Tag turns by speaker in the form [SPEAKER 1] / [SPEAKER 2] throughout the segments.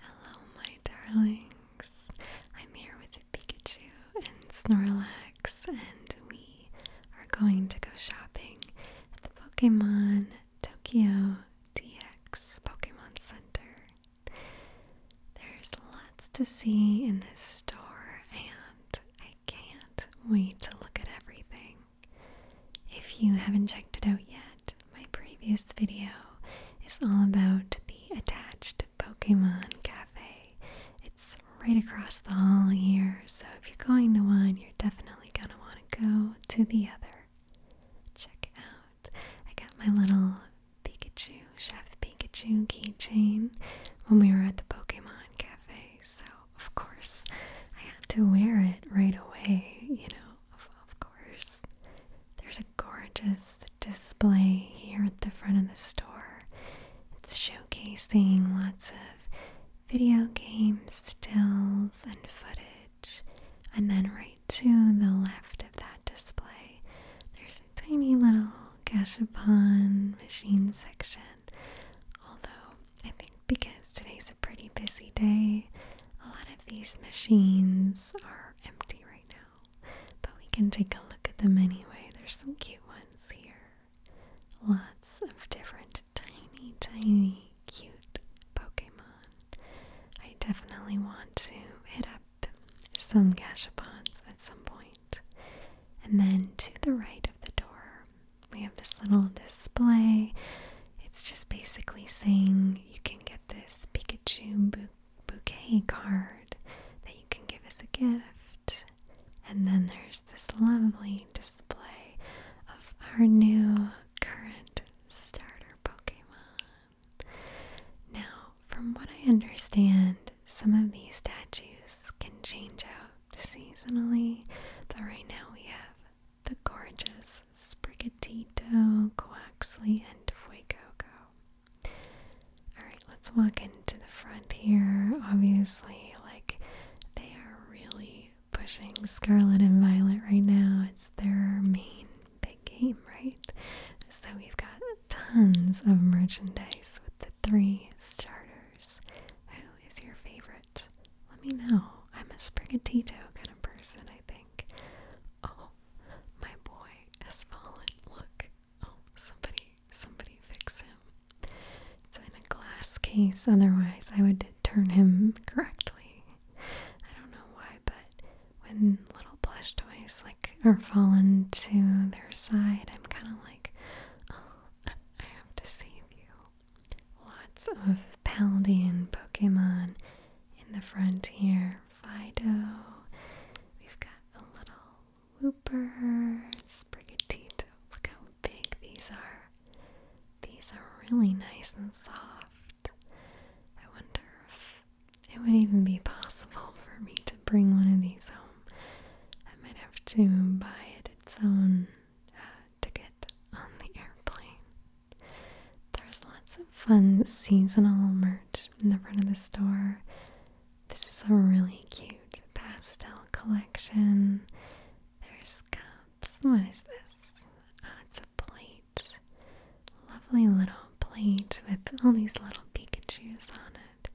[SPEAKER 1] Hello, my darlings. I'm here with Pikachu and Snorlax, and we are going to go shopping at the Pokemon Tokyo DX Pokemon Center. There's lots to see in this store, and I can't wait to look at everything. If you haven't checked it out yet, my previous video is all about the attached Pokemon Cafe. It's right across the hall here, so if you're going to one, you're definitely gonna want to go to the other. Check out. I got my little Pikachu, Chef Pikachu keychain when we were at the Pokemon Cafe, so of course I had to wear it right away, you know, of course. There's a gorgeous display here at the front of the store. It's showcasing lots of video game stills and footage. And then right to the left of that display, there's a tiny little gashapon machine section. Although I think because today's a pretty busy day, a lot of these machines are empty right now but we can take a look at them anyway. There's some cute ones here. Lots of different tiny, tiny, cute Pokemon. I definitely want to hit up some Gashapons at some point. And then to the right of the door, we have this little display. It's just basically saying you can get this Pikachu book bouquet card that you can give as a gift. And then there's this lovely display of our new current starter Pokemon. Now, from what I understand, some of these statues can change out seasonally, but right now we have the gorgeous Sprigatito, Quaxley, and Fuegogo. Alright, let's walk into the front here. Obviously, like they are really pushing Scarlet and Violet right now. It's their main big game, right? So we've got tons of merchandise with the three starters. Who is your favorite? Let me know. I'm a Sprigatito kind of person, I think. Oh, my boy has fallen. Look. Oh, somebody, somebody fix him. It's in a glass case, otherwise, I would turn him correctly. I don't know why, but when little plush toys like are fallen to their side, I'm kind of like, oh, I have to save you. Lots of Paldean Pokemon in the frontier Fido. We've got a little whooper, sprigatito. Look how big these are. These are really nice and soft. I wonder if it would even be possible for me to bring one of these home. I might have to buy it its own uh, ticket on the airplane. There's lots of fun seasonal merchandise in the front of the store. This is a really cute pastel collection. There's cups. What is this? Ah, it's a plate. Lovely little plate with all these little Pikachu's on it.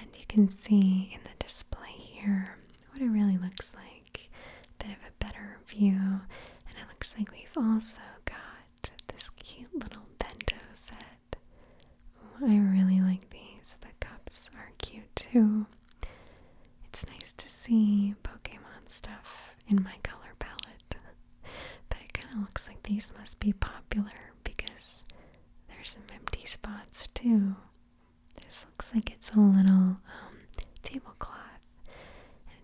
[SPEAKER 1] And you can see in the display here what it really looks like. bit of a better view. And it looks like we've also got this cute little bento set. Oh, I really like these. The cups are cute too. It's nice to see Pokemon stuff in my color palette, but it kind of looks like these must be popular because there's some empty spots too. This looks like it's a little um, tablecloth.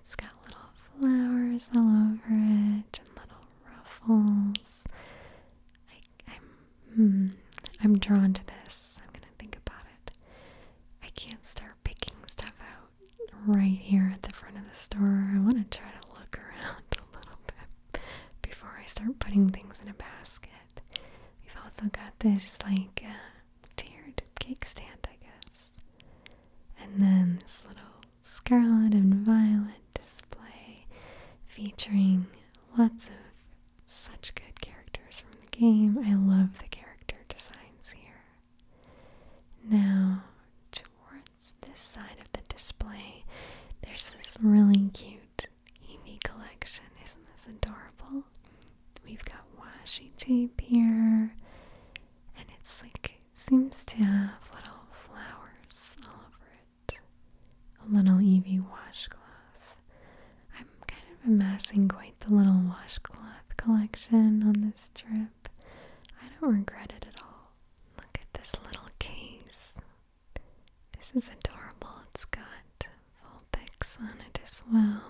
[SPEAKER 1] It's got little flowers all over it and little ruffles. I, am hmm, I'm drawn to this. I'm gonna think about it. I can't start picking stuff out right here at the front of the store. I want to try to look around a little bit before I start putting things in a basket. We've also got this like uh, tiered cake stand, I guess, and then this little scarlet and violet display featuring lots of such good characters from the game. I love the character designs here. Now, towards this side of the display, there's this really cute Eevee collection. Isn't this adorable? We've got washi tape here, and it's like seems to have little flowers all over it. A little Evie washcloth. I'm kind of amassing quite the little washcloth collection on this trip. I don't regret it at all. Look at this little case. This is adorable. It's got full pics on it as well.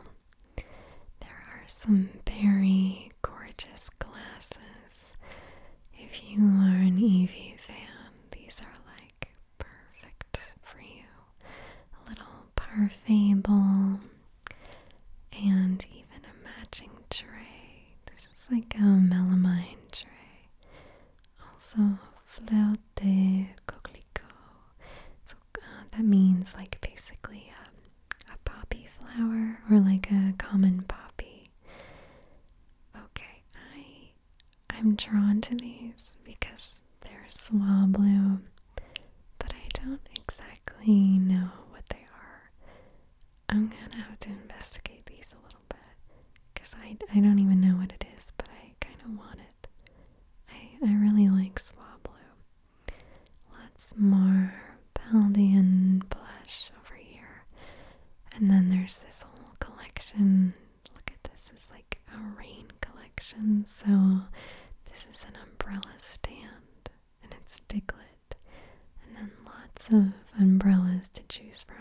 [SPEAKER 1] There are some very gorgeous glasses. If you are an EV fan, these are like perfect for you. little parfait and even a matching tray. This is like a melamine tray. Also, fleur de So uh, that means like basically a um, a poppy flower or like a common poppy. Okay, I I'm drawn to these because they're swab blue, but I don't exactly know what they are. I'm gonna have to investigate these a little bit because I, I don't even know what it is, but I kind of want it. I, I really like swab blue. Let's mark Paldean blush over here. And then there's this whole collection. Look at this, it's like a rain collection. So this is an umbrella stand and it's Diglett. And then lots of umbrellas to choose from.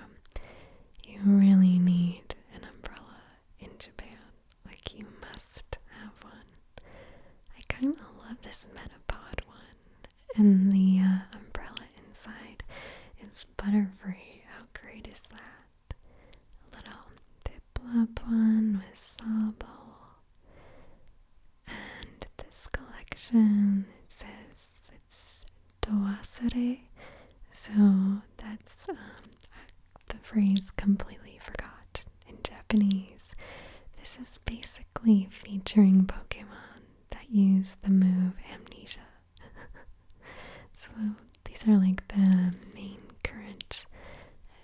[SPEAKER 1] You really need an umbrella in Japan. Like you must have one. I kinda love this Metapod one and the uh, umbrella inside is butterfree. How great is that? little Diplodon with Sable. And this collection, it says it's Doasere, so that's um, the phrase completely forgot in Japanese. This is basically featuring Pokemon that use the move amnesia. so these are like the main current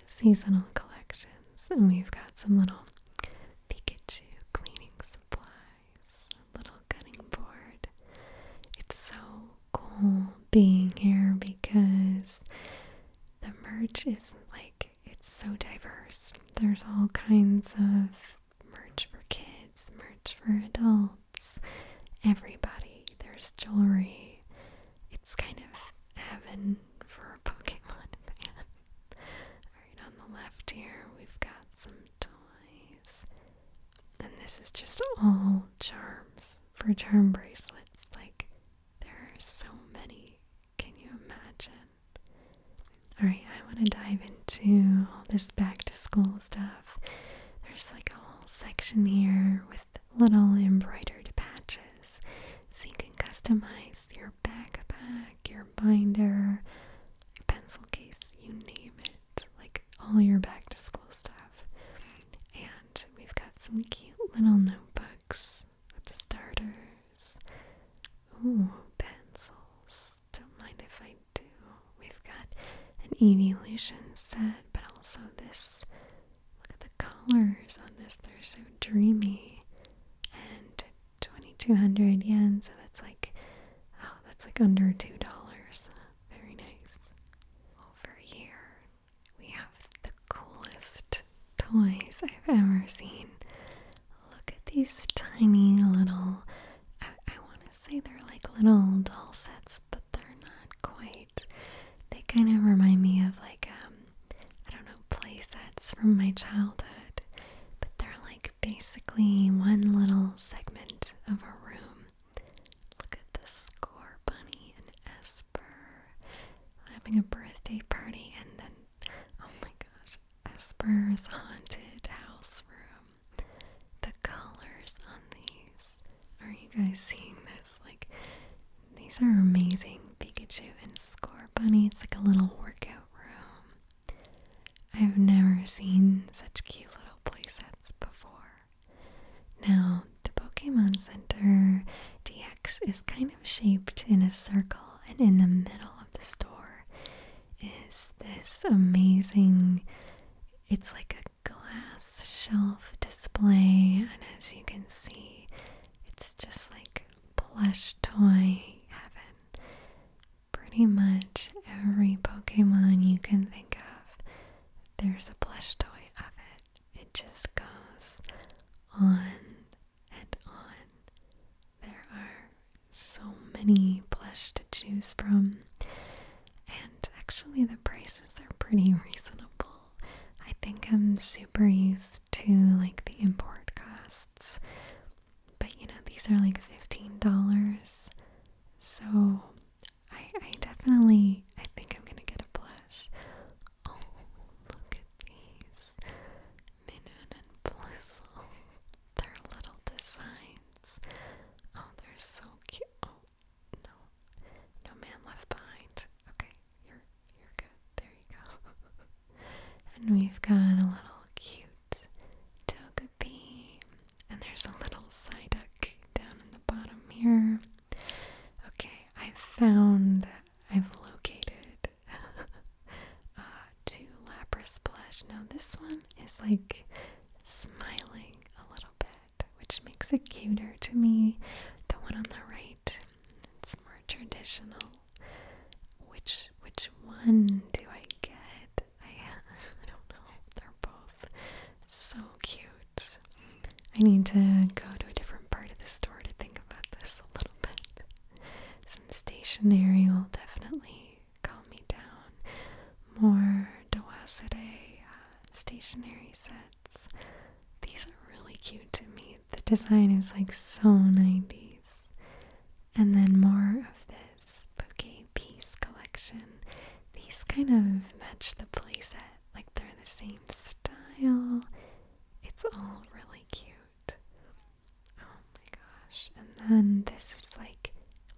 [SPEAKER 1] seasonal collections, and we've got some little Pikachu cleaning supplies, a little cutting board. It's so cool being here because the merch is like it's so diverse. There's all kinds of merch for kids, merch for adults, everybody. There's jewelry. It's kind of heaven for a Pokemon fan. Alright, on the left here, we've got some toys. And this is just all charms for charm bracelets. Like, there are so many. Can you imagine? Alright, I want to dive into all this back to school stuff. There's like a whole section here with little embroidered patches so you can customize your backpack, your binder, your pencil case, you name it. Like all your back to school stuff. And we've got some cute little notebooks with the starters. Oh, pencils. Don't mind if I do. We've got an evolution set, but also this. Look at the colors on this. They're so dreamy. And 2200 yen, so that's like, oh, that's like under $2. Very nice. Over here, we have the coolest toys I've ever seen. Look at these tiny little, I, want to say they're like little doll sets, but they're not quite. They kind of remind me of like, um, I don't know, play sets from my childhood, but they're like basically one little segment of a room. Look at the score bunny and Esper having a birthday party, and then Oh my gosh. Esper's haunted house room. The colors on these. Are you guys seeing this? Like, these are amazing. Pikachu and Scorbunny. It's like a little workout room. I've never seen such cute little playsets before. Now, the Pokemon Center DX is kind of shaped in a circle, and in the middle of the store is this amazing, it's like a glass shelf display, and as you can see, it's just like plush toy heaven. Pretty much every Pokemon you can think of, there's a plush toy of it. It just goes on and on. There are so many blush to choose from. And actually, the prices are pretty reasonable. I think I'm super used to like the import costs, but you know, these are like $15. So I, I definitely, I think I'm gonna get a blush. Oh, look at these. Minun and Blizzle. Their little designs. Oh, they're so cute. Oh, no. No man left behind. Okay, you're you're good. There you go. and we've got a little cute Togepi. And there's a little Psyduck down in the bottom here. Okay, I've found, I've located uh, Two Lapras blush. Now this one is like smiling a little bit, which makes it cuter to me. The one on the right, it's more traditional. Which which one do I get? I I don't know. They're both so cute. I need to go to a different part of the store to think about this a little bit. Some stationery will definitely calm me down. More Dowasere uh, stationery sets. These are really cute to me. The design is like so 90s. And then more of this bouquet piece collection. These kind of match the playset, like they're the same style. It's all really cute. Oh my gosh. And then this is like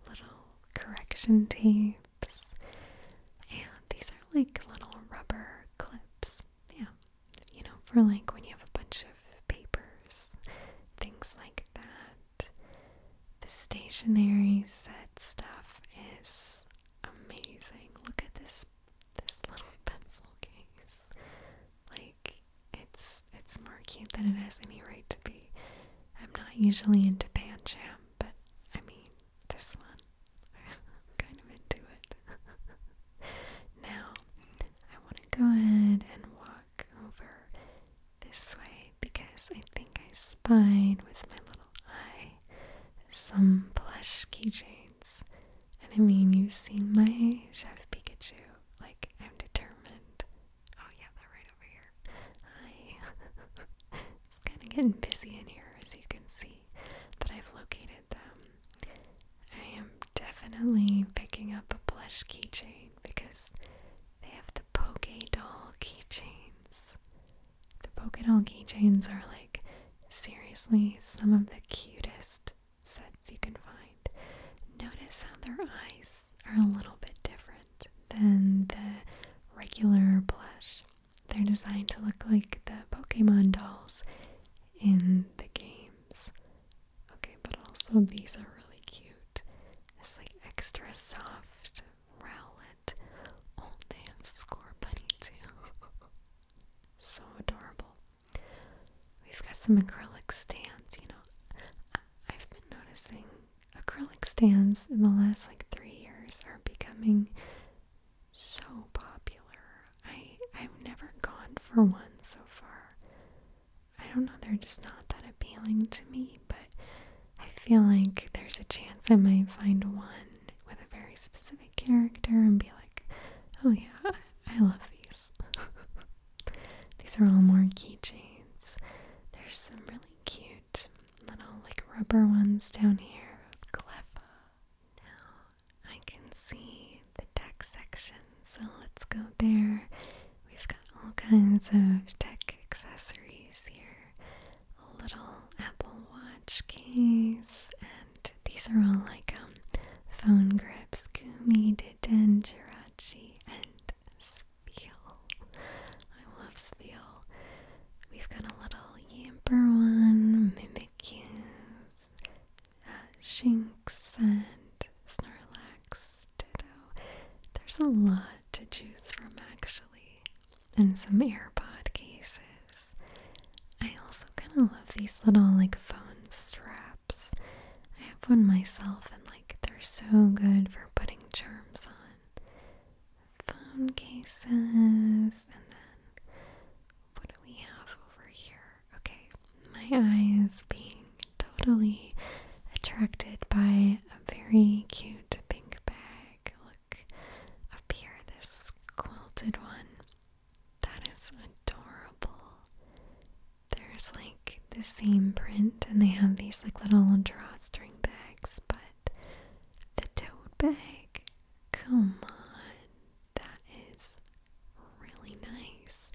[SPEAKER 1] little correction tapes. And these are like little rubber clips. Yeah. You know, for like when you have a bunch of papers, things like that. The stationery set stuff is amazing. Look at this this little pencil case. Like it's it's more cute than it has any right to be. I'm not usually into pan jam, but I mean this one. I'm kind of into it. now I want to go ahead and walk over this way because I think I spied with my little eye some plush keychains. And I mean, you've seen my Chef Pikachu. Like, I'm determined Oh yeah, they're right over here. Hi. it's kind of getting busy in here, as you can see, but I've located them. I am definitely picking up a plush keychain because they have the Poke Doll keychains. The Poke Doll keychains are like seriously some of the cutest sets you can find. Notice how their eyes are a little bit different than the regular plush. They're designed to look like the Pokemon dolls in the games. Okay, but also these are really cute. It's like extra soft rowlet. Oh, they have score too. so adorable. We've got some acrylic stands, you know. I've been noticing acrylic stands in the last like three years are becoming so popular. I I've never gone for one so far. I don't know, they're just not that appealing to me, but I feel like there's a chance I might find one with a very specific character and be like, oh yeah, I love these. These are all more keychains. There's some really cute little like rubber ones down here. Now I can see the tech section, so let's go there. We've got all kinds of tech accessories here. A little Apple Watch case, and these are all like um, phone grips, gumi, detenjirachi, and so Spiel. I love Spiel. We've got a little Yamper one, Mimikyu, uh, Shinx, and Snorlax, Ditto. There's a lot to choose from actually, and some AirPod cases. I also kind of love these little like phone straps. I have one myself, and like they're so good for putting charms on phone cases, and then what do we have over here? Okay, my eyes being totally attracted by a very cute pink bag. Look up here, this quilted one. That is adorable there's like the same print and they have these like little drawstring bags, but the tote bag, come on, that is really nice.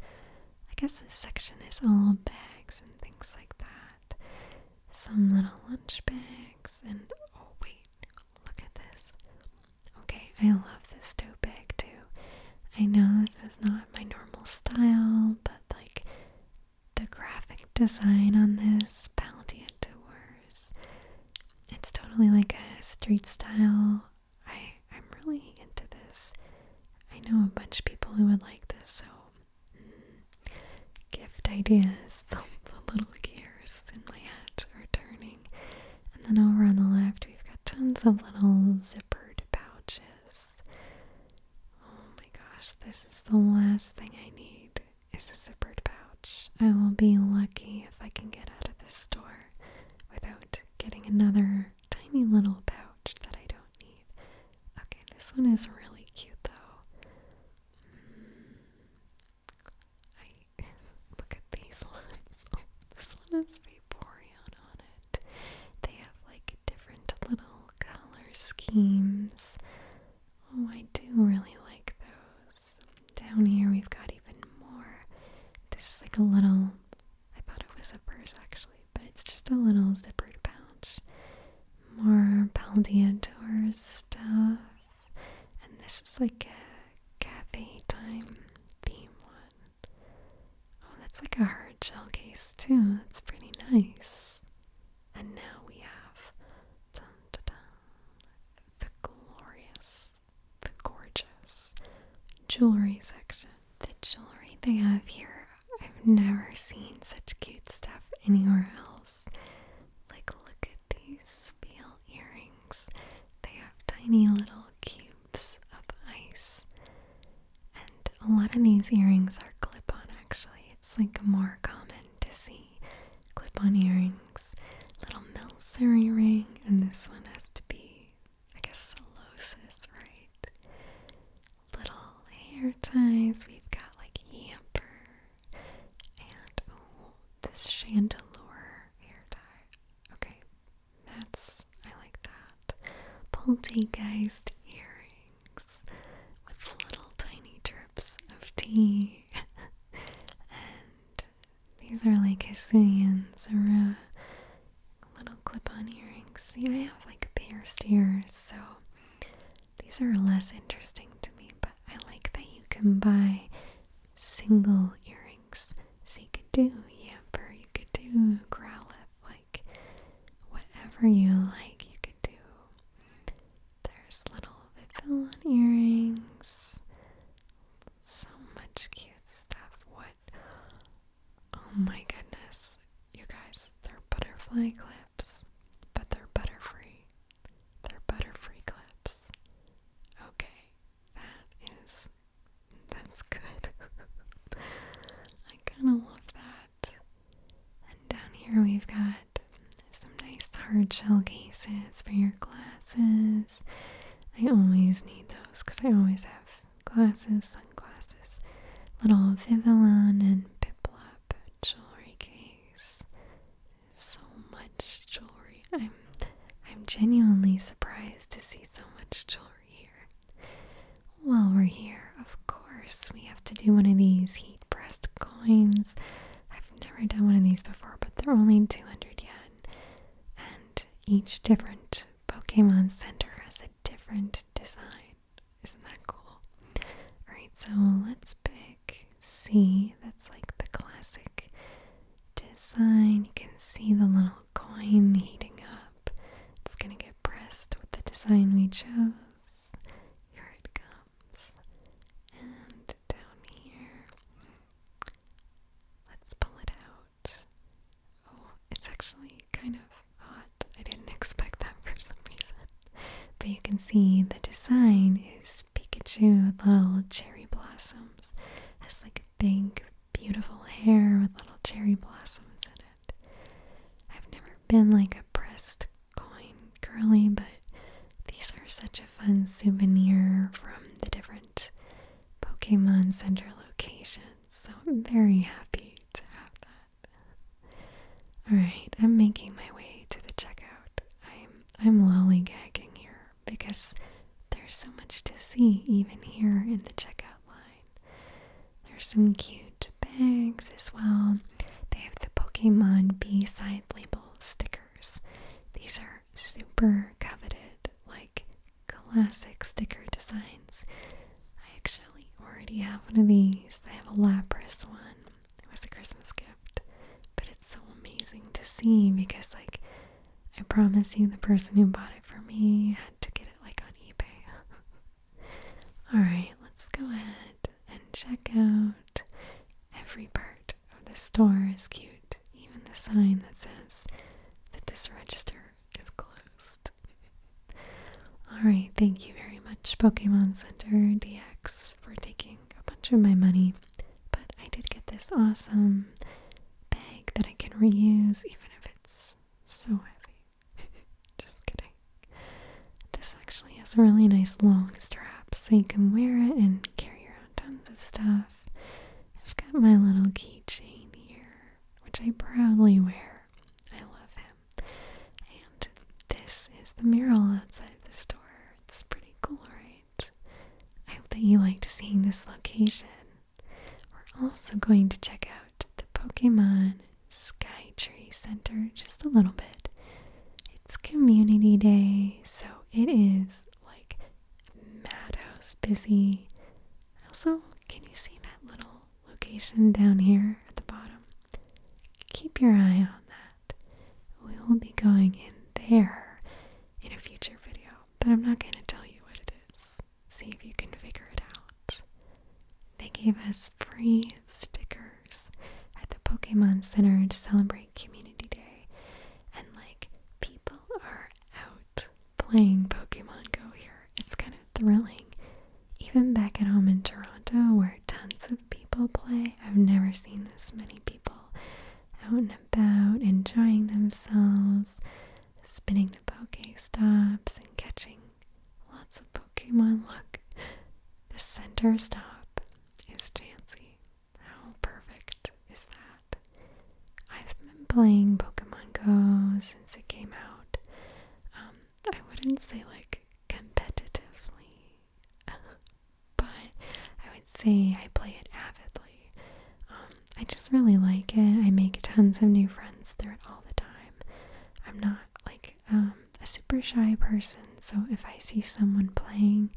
[SPEAKER 1] I guess this section is all bags and things like that. Some little lunch bags and oh wait, look at this. Okay, I love this tote bag too. I know this is not my normal style, but like the graphic design on this Palantir It's totally like a street style. I I'm really into this. I know a bunch of people who would like this, so mm, gift ideas. The, little gears in my head are turning. And then over on the left, we've got tons of little zippered pouches. Oh my gosh, this is the last thing I need is a zippered pouch. I will be lucky if I can get out of this store without getting another tiny little pouch that I don't need. Okay, this one is really cute though. Mm. look at these ones. Oh, this one has Vaporeon on it. They have like different little color schemes. Oh, I do really like those. Down here we've got even more. This is like a little, I thought it was a purse actually, but it's just a little zippered pouch. More Baldian Tour stuff. And this is like a cafe time theme one. Oh, that's like a hard shell case too. That's pretty nice. And now we have the glorious, the gorgeous jewelry section. The jewelry they have here, I've never seen such cute stuff anywhere else. Like, look at these veal earrings. They have tiny little cubes of ice and a lot of these earrings are clip on, actually. It's like more common to see clip on earrings. Little Milseri ring, and this one has to be, I guess, celosis, right? Little hair ties. We've got like hamper and oh, this chandelier hair tie. Okay, that's I like that. Poltergeist earring with little tiny drips of tea. and these are like Hisuians or uh, little clip on earrings. See, I have like pierced ears, so these are less interesting to me, but I like that you can buy single earrings. So you could do yamper, you could do growlithe, whatever you like you could do. There's little fill on earrings. So much cute stuff. What oh my goodness. You guys, they're butterfly clips, but they're butterfree. They're butterfree clips. Okay, that is that's good. I kind of love that. And down here we've got some nice hard shell cases for your glasses. I always need those because I always have glasses, sunglasses, little Vivillon and Piplop jewelry cases. So much jewelry. I'm I'm genuinely surprised to see so much jewelry here. While we're here, of course, we have to do one of these heat pressed coins. I've never done one of these before, but they're only 200 yen. And each different Pokemon Center has a different design. Isn't that cool? Alright, so let's pick C. That's like the classic design. You can see the little coin heating up. It's going to get pressed with the design we chose. Here it comes. And down here, let's pull it out. Oh, it's actually kind of hot. I didn't expect that for some reason. But you can see the design is Pikachu with little cherry blossoms. Has like a big, beautiful hair with little cherry blossoms in it. I've never been like a pressed coin curly, but these are such a fun souvenir from the different Pokemon Center locations. So I'm very happy to have that. Alright, I'm making my way to the checkout. I'm I'm lollygagging here because there's so much to see even here in the checkout line. There's some cute bags as well. They have the Pokemon B side label stickers. These are super coveted, like classic sticker designs. I actually already have one of these. I have a Lapras one. It was a Christmas gift. But it's so amazing to see because, like, I promise you, the person who bought it for me had to get it like on eBay. Alright, let's go ahead and check out every part of the store is cute, even the sign that says that this register is closed. Alright, thank you very much, Pokemon Center DX, for taking a bunch of my money. But I did get this awesome bag that I can reuse, even if it's so heavy. Just kidding. This actually has a really nice long strap, so you can wear it and carry around tons of stuff. I've got my little keychain here, which I proudly wear. I love him. And this is the mural outside of the store. It's pretty cool, right? I hope that you liked seeing this location. We're also going to check out the Pokemon Skytree Center just a little bit. It's community day, so it is like madhouse busy. Also, can you see that little location down here at the bottom? Keep your eye on that. We will be going in there in a
[SPEAKER 2] future video, but I'm not going
[SPEAKER 1] to tell you what it is. See if you can figure it out. They gave us free stickers at the Pokemon Center to celebrate Community Day. And like, people are out playing Pokemon Go here. It's kind of thrilling. Even back at home in Toronto, where tons of people play, I've never seen this many people out and about enjoying themselves, spinning the Stops and catching Lots of Pokemon. Look, the center stop is Chansey. How perfect is that? I've been playing Pokemon Go since it came out. Um, I wouldn't say like competitively, but I would say I play it avidly. Um, I just really like it. I make tons of new friends through it all the time. I'm not like like um, a super shy person, so if I see someone playing,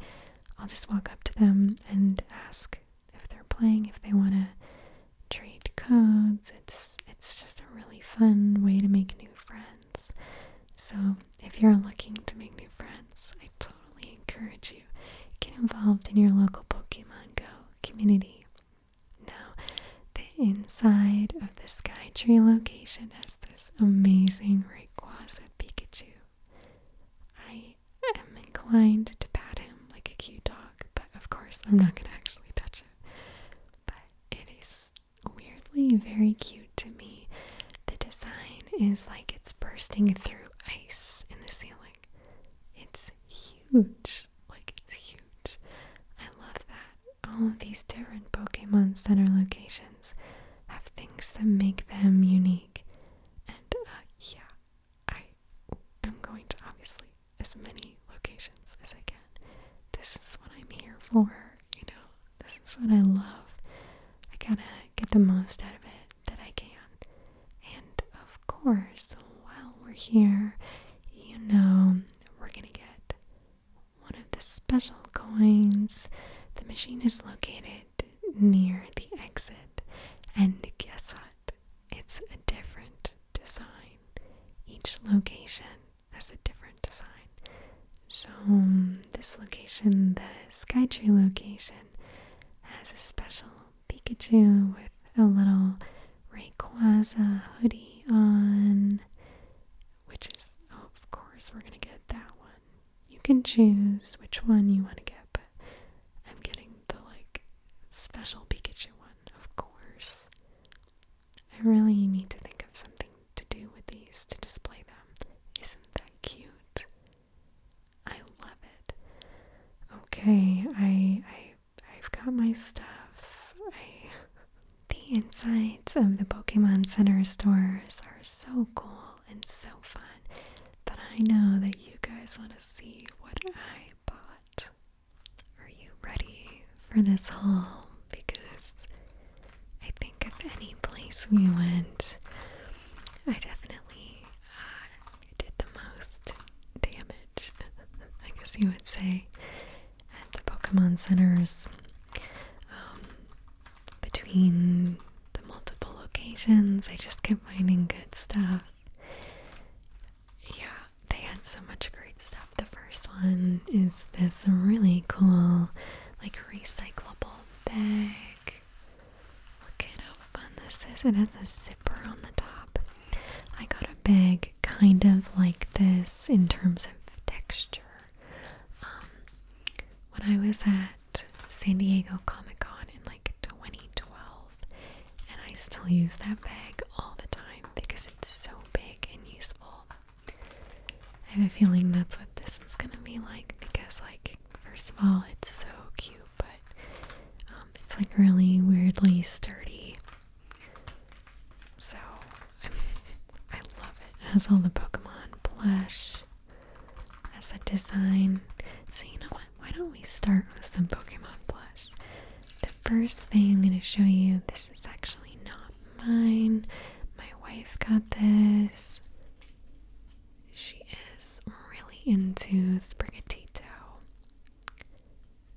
[SPEAKER 1] I'll just walk up to them and ask if they're playing, if they want to trade codes. It's it's just a really fun way to make new friends. So if you're looking to make new friends, I totally encourage you get involved in your local Pokemon Go community. Now, inside of the Skytree location has this amazing Rayquaza Pikachu. I am inclined to pat him like a cute dog, but of course I'm not going to actually touch it. But it is weirdly very cute to me. The design is like it's bursting through ice in the ceiling. It's huge. Like it's huge. I love that all of these different Pokemon Center locations have things that make them unique. And uh, yeah, I am going to obviously as many locations as I can. This is what I'm here for, you know, this is what I love. I gotta get the most out of it that I can. And of course, while we're here, you know, we're gonna get one of the special coins. The machine is located near the exit, and guess what? It's a different design. Each location has a different design. So, um, this location, the Skytree location, has a special Pikachu with a little Rayquaza hoodie on, which is, of course, we're going to get that one. You can choose which one you want to get, but I'm getting the like special Pikachu one, of course. I really need to think of something to do with these to display them. Isn't that cute? I love it. Okay, I I I've got my stuff. I The insides of the Pokemon Center stores are so cool and so fun, but I know that you guys want to see what I bought. Are you ready for this haul? Because I think of any place we went, I definitely uh, did the most damage, I guess you would say, at the Pokemon centers um, between the multiple locations. I just kept finding good stuff. Yeah, they had so much great stuff. The first one is this really cool, like, recyclable bag. Look at how fun this is. It has a zipper on the top. I got a bag kind of like this in terms of texture um, when I was at San Diego Comic Con in like 2012, and I still use that bag all the time because it's so big and useful. I have a feeling that's what this is gonna be like because, like, first of all, it's so cute, but um, it's like really weirdly sturdy. So i love it. It has all the Pokemon plush as a design. So, you know what? Why don't we start with some Pokemon plush? The first thing I'm going to show you this is actually not mine. My wife got this. She is really into Sprigatito.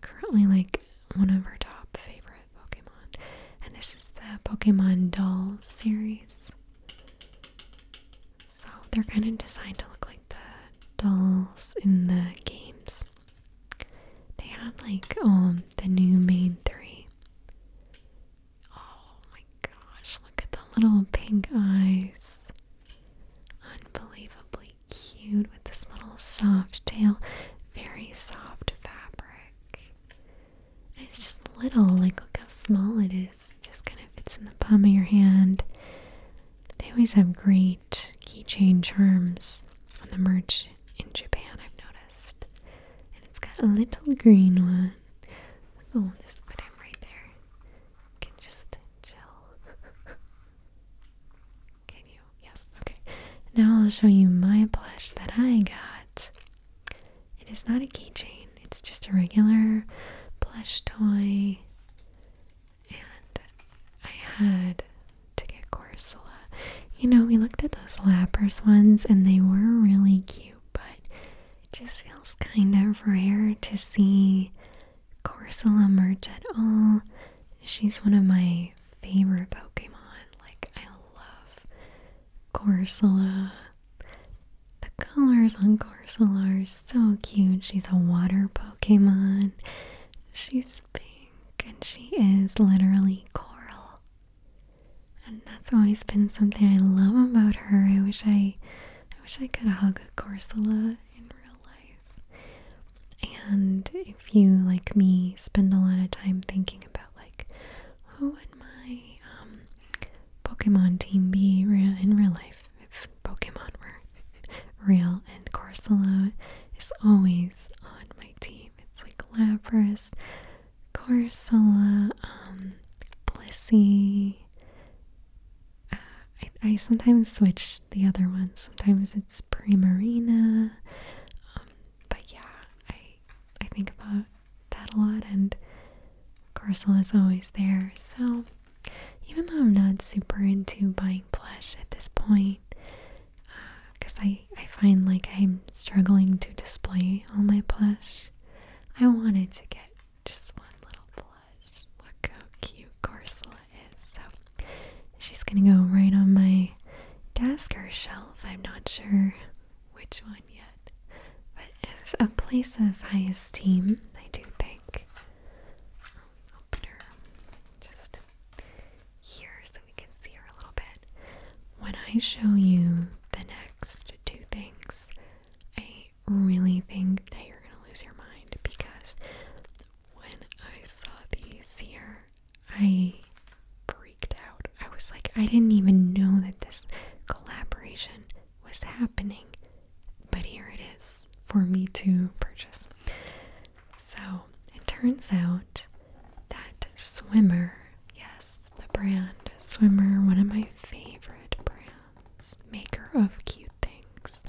[SPEAKER 1] Currently, like one of her top favorites. Pokemon. And this is the Pokemon Doll series. So they're kind of designed to look like the dolls in the games. They have like um the new main three. Oh my gosh, look at the little pink eyes. Unbelievably cute with this little soft tail. Very soft fabric it's just little, like look how small it is. just kind of fits in the palm of your hand. They always have great keychain charms on the merch in Japan, I've noticed. And it's got a little green one. Oh, just put him right there. can just chill. can you? Yes, okay. Now I'll show you my plush that I got. It is not a keychain, it's just a regular plush toy. And I had to get Corsola. You know, we looked at those Lapras ones and they were really cute, but it just feels kind of rare to see Corsola merch at all. She's one of my favorite Pokemon. Like, I love Corsola. The colors on Corsola are so cute. She's a water Pokemon. She's pink and she is literally coral. And that's always been something I love about her. I wish I I wish I could hug a Corsola in real life. And if you like me spend a lot of time thinking about like who would my um, Pokemon team be in real life if Pokemon were real. And Corsola is always on my team. It's like Lapras, Corsola, um, Blissey. Uh, I, sometimes switch the other ones. Sometimes it's Primarina. Um, but yeah, I I think about that a lot, and Carcel is always there. So even though I'm not super into buying plush at this point, because uh, I I find like I'm struggling to display all my plush, I wanted to get just one little plush. Look how cute Corsola is. So she's gonna go right on my desk or shelf. I'm not sure which one on but it's a place of high esteem, I do think. Um, opener just here so we can see her a little bit. When I show you the next two things, I really think that you're going to lose your mind because when I saw these here, I breathed out. I was like, I didn't even know that this collaboration was happening, but here it is for me to purchase. So it turns out that Swimmer, yes, the brand Swimmer, one of my favorite brands, maker of cute things,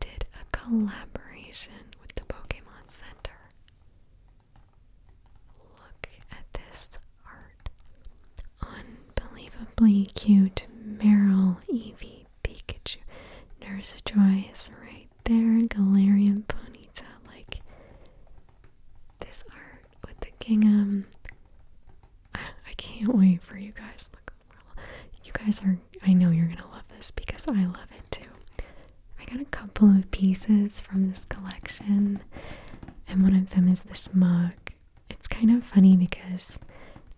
[SPEAKER 1] did a collaboration with the Pokemon Center. Look at this art. Unbelievably cute Meryl, Eevee, Pikachu. Nurse Joy is right there. Galarian Ponyta. Like this art with the gingham. Um, I, I can't wait for you guys. Look, you guys are, I know you're gonna love this because I love it too. I got a couple of pieces from this collection and one of them is this mug. It's kind of funny because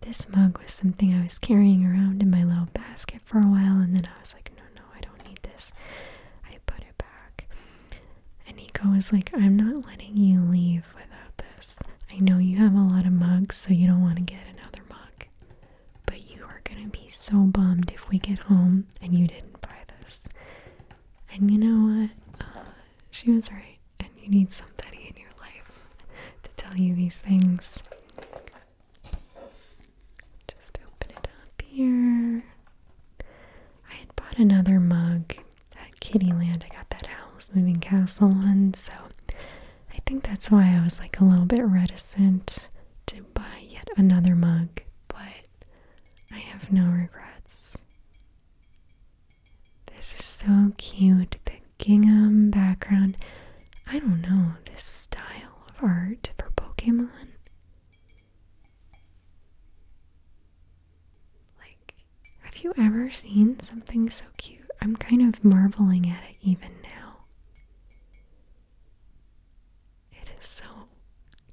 [SPEAKER 1] this mug was something I was carrying around in my little basket for a while, and then I was like, no, no, I don't need this. I put it back. And Nico was like, I'm not letting you leave without this. I know you have a lot of mugs, so you don't want to get another mug. But you are going to be so bummed if we get home and you didn't buy this. And you know what? Uh, she was right. And you need somebody in your life to tell you these things. Just open it up here. I had bought another mug at Kittyland. I got that house moving castle one, so I think that's why I was like a little bit reticent to buy yet another mug. But I have no regrets. This is so cute. The gingham background. I don't know, this style of art for Pokemon. Like, have you ever seen something so cute? I'm kind of marveling at it even now. It is so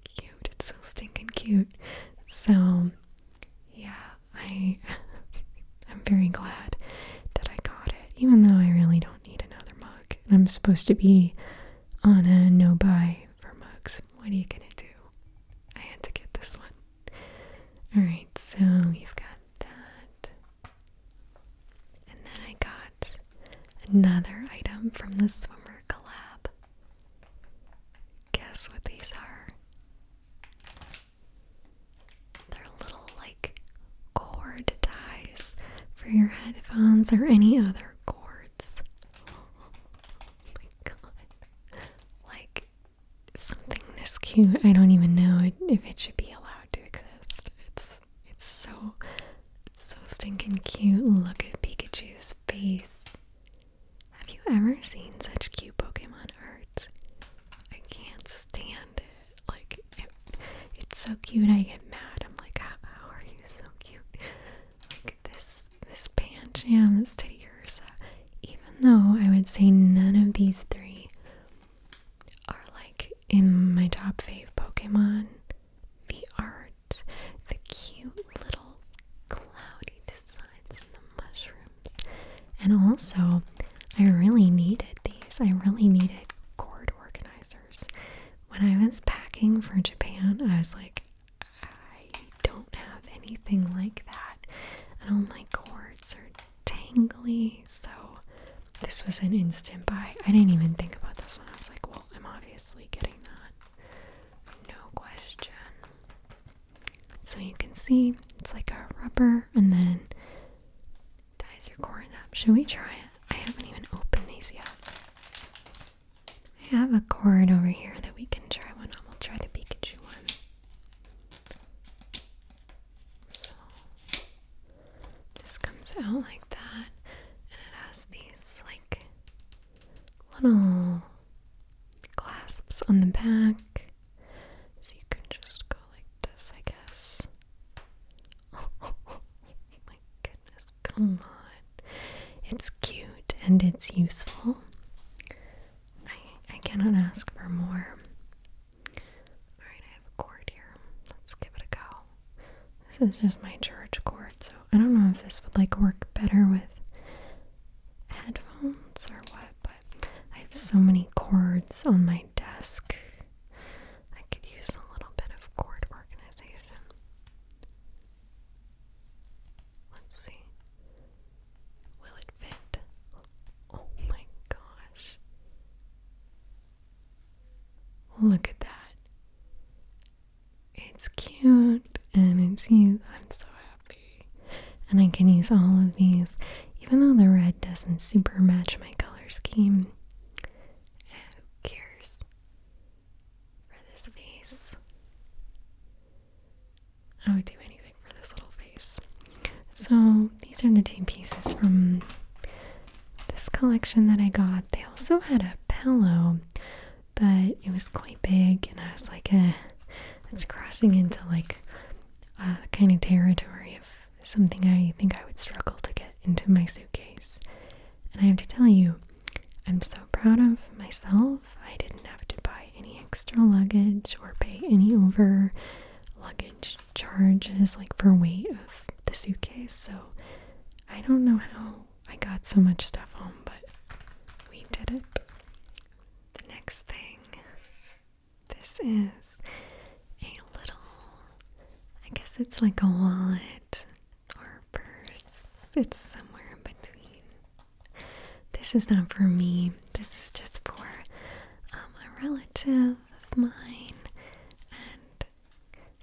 [SPEAKER 1] cute. It's so stinking cute. So, yeah, I I'm very glad that I got it, even though I really don't need another mug. And I'm supposed to be on a no buy for mugs. What are you gonna do? I had to get this one. All right, so you've got that, and then I got another item from the swimmer collab. Guess what these are? They're little like cord ties for your headphones or any other cords. Oh my god. Like something this cute, I don't even know if it should be allowed to exist. It's it's so so stinking cute. Look at Pikachu's face. Have you ever seen such cute Pokemon art? I can't stand it. Like, it's so cute. I get mad. I'm like, how, are you so cute? Like this, this Pancham, this Teddiursa. Even though I would say none of these three are like in my top fave Pokemon, the art the cute little cloudy designs and the mushrooms. And also, I really needed these. I really needed cord organizers. When I was packing for Japan, I was like, I don't have anything like that. And all my cords are tangly. So, this was an instant buy. I didn't even think about this one. I was like, well, I'm obviously getting that. No question. So you can see it's like a rubber and then ties your corn up. Should we try it? I haven't even opened these yet. I have a cord over here that we can try one on. We'll try the Pikachu one. So just comes out like that and it has these like little clasps on the back. So you can just go like this, I guess. Oh my goodness, come on. It's cute and it's useful. I, I cannot ask for more. Alright, I have a cord here. Let's give it a go. This is just my church cord, so I don't know if this would like work better with headphones or what, but I have so many cords on my desk. I could use a little bit of cord organization. Let's see. Will it fit? Oh my gosh. Look at that. It's cute and it's used. I'm so happy. And I can use all of these, even though the red doesn't super match my color scheme. who cares? For this face, I would do anything for this little face. So, these are the two pieces from this collection that I got. They also had a pillow but it was quite big, and I was like, eh, it's crossing into like a kind of territory of something I think I would struggle to get into my suitcase. And I have to tell you, I'm so proud of myself. I didn't have to buy any extra luggage or pay any over luggage charges, like for weight of the suitcase. So I don't know how I got so much stuff home, but we did it. The next thing, this is a little, I guess it's like a wallet or purse. It's somewhere in between. This is not for me, this is just for um, a relative of mine, and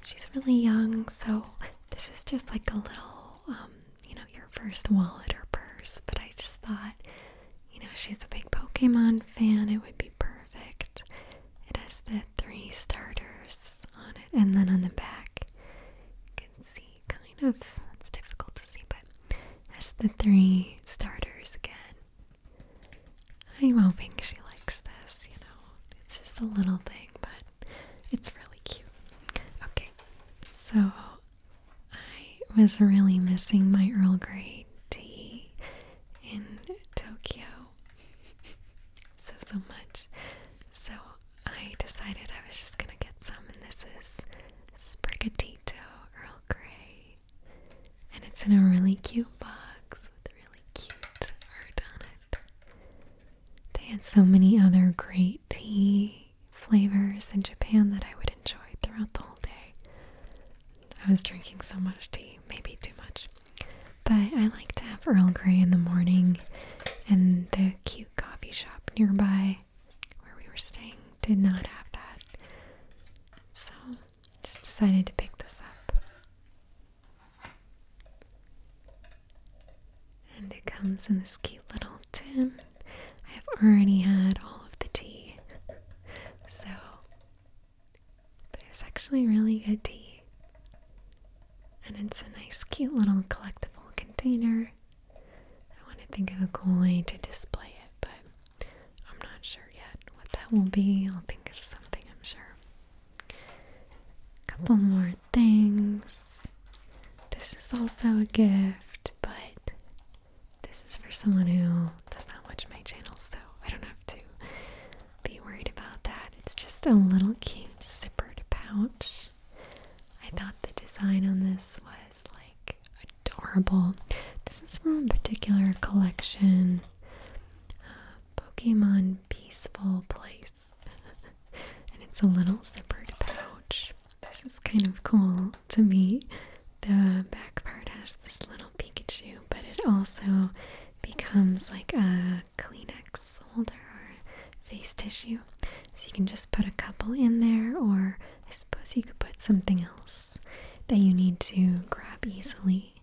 [SPEAKER 1] she's really young, so this is just like a little um, you know, your first wallet or purse, but I just thought, you know, she's a big Pokemon fan, it would be perfect. It has the three starters on it, and then on the back, can see kind of, it's difficult to see, but it has the three starters again. I'm hoping she likes this, you know, it's just a little thing, but it's really cute. Okay, so I was really missing my Earl Grey tea in Tokyo so, so much. So, I decided I was just gonna get some, and this is Sprigatito Earl Grey. And it's in a really cute box with really cute art on it. They had so many other great tea flavors in Japan that I would enjoy throughout the whole day. I was drinking so much tea, maybe too much. But I like to have Earl Grey in the morning, and the cute coffee shop nearby where we were staying did not have that. So just decided to pick this up. And it comes in this cute little tin. I have already had all of the tea. So, there's actually really good tea. And it's a nice, cute little collectible container. I want to think of a cool way to display it, but I'm not sure yet what that will be. I'll think of something, I'm sure. A couple more things this. is also a gift, but this is for someone who does not watch my channel, so I don't have to be worried about that. It's just a little cute zippered pouch. I thought the design on this was like adorable. This is from a particular collection uh, Pokemon Peaceful Place. and it's a little zippered pouch. This is kind of cool to me. The back part has this little Pikachu, but it also becomes like a Kleenex holder or face tissue. So you can just put a couple in there, or I suppose you could put something else that you need to grab easily.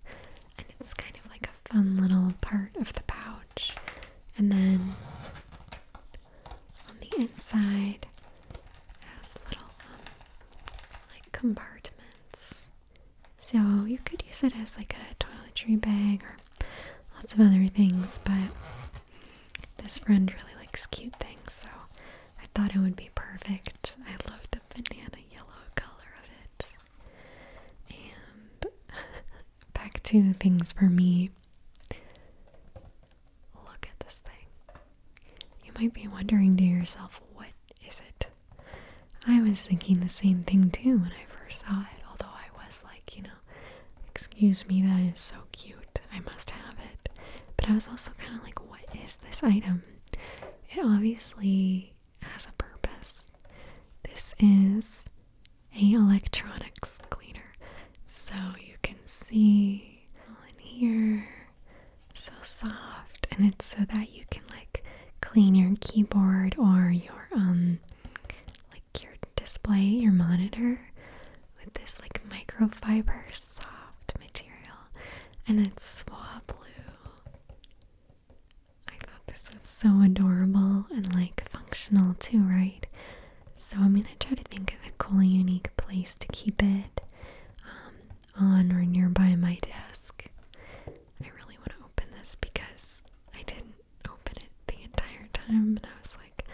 [SPEAKER 1] And it's kind of like a fun little part of the pouch. And then on the inside has little um, like compartments. So you could use it as like a toiletry bag or lots of other things, but this friend really likes cute things, so I thought it would be perfect. I love the banana yellow color of it. And back to things for me. Look at this thing. You might be wondering to yourself, what is it? I was thinking the same thing too when I first saw it, although I was like, you know, excuse me, that is so cute. I must have it. But I was also kind of like, what is this item? It obviously has a purpose. This is a electronics cleaner. So you can see in here, so soft, and it's so that you can like clean your keyboard or your um like your display, your monitor with this like microfiber soft material, and it's swab blue. I thought this was so adorable and like functional too, right? So I'm going to try to think of a cool, unique place to keep it um, on or nearby my desk. I really want to open this because I didn't open it the entire time and I was like,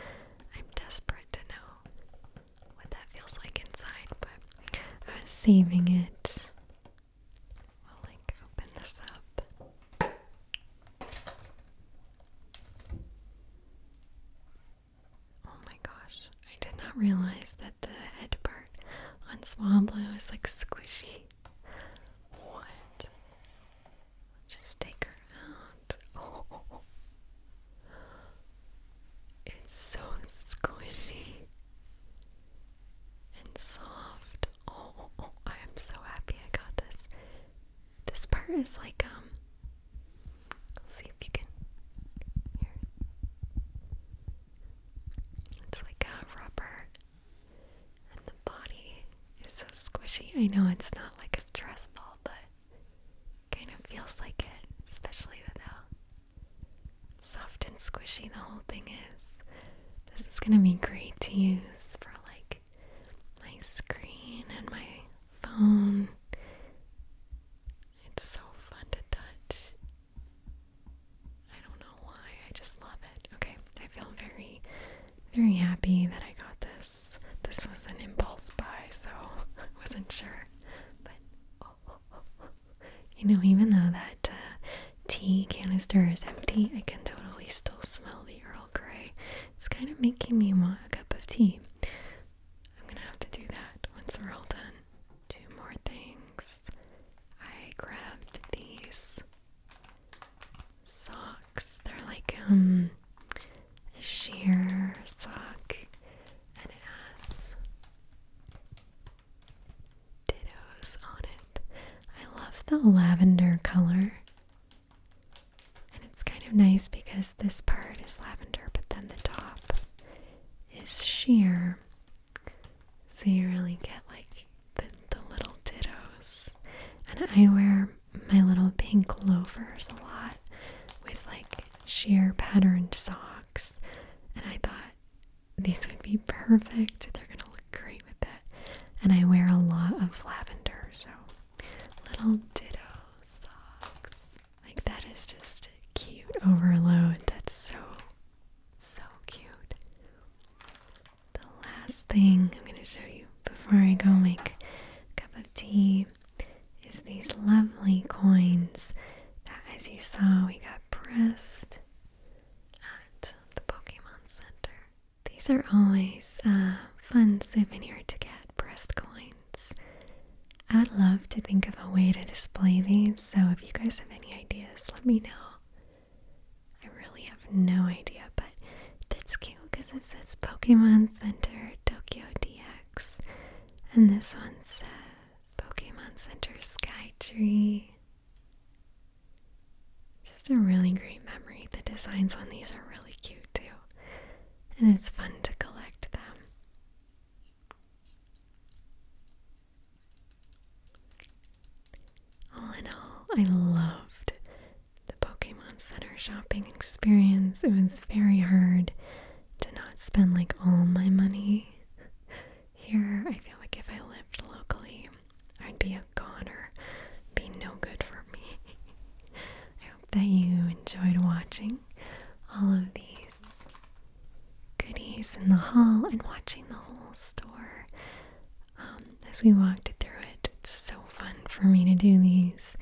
[SPEAKER 1] I'm desperate to know what that feels like inside, but I was saving it. We'll like open this up. Oh my gosh, I did not realize that the head part on Swablu is like squishy. What? Just take her out. it's so squishy and soft. Oh, oh, oh, I am so happy I got this. This part is like um see if you can It's like a rubber, and the body is so squishy. I know it's not like a stress ball, but it kind of feels like it, especially with how soft and squishy the whole thing is. This is gonna be great to use for like my screen and my phone. It's so fun to touch. I don't know why, I just love it. Okay, I feel very, very happy that I got this. This was an impulse buy, so I wasn't sure. But, you know, even though that uh, tea canister is empty, I can totally still smell the Earl Grey. It's kind of making me want a cup of tea. I'm gonna have to do that once we're all done. Two more things. I grabbed these socks. They're like um a sheer sock and it has dittos on it. I love the lavender color. And it's kind of nice because this part is lavender, but then the top is sheer. So you really get like the, little dittos. And I wear my little pink loafers a lot with like sheer patterned socks. And I thought these would be perfect. They're gonna look great with that. And I wear a lot of lavender, so little ditto socks. Like, that is just cute overload. That's so, so cute. The last thing I'm going to show you before I go make a cup of tea is these lovely coins that, as you saw, we got pressed at the Pokemon Center. These are always a uh, fun souvenir to get, pressed coins. I would love to think of a way to display these, so if you guys have any ideas, let me know. I really have no idea, but that's cute because it says Pokemon Center Tokyo DX, and this one says Pokemon Center Sky Tree. Just a really great memory. The designs on these are really cute too, and it's fun to collect them. All in all, I loved the Pokemon Center shopping experience. It was very hard to not spend like all my money here. I feel like if I lived locally, I'd be a goner. Be no good for me. that you enjoyed watching all of these goodies in the haul and watching the whole store um, as we walked through it. It's so fun for me to do these.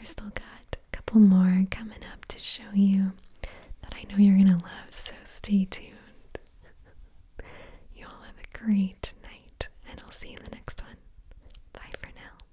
[SPEAKER 1] I've still got a couple more coming up to show you that I know you're going to love, so stay tuned. you all have a great night, and I'll see you in the next one. Bye for now.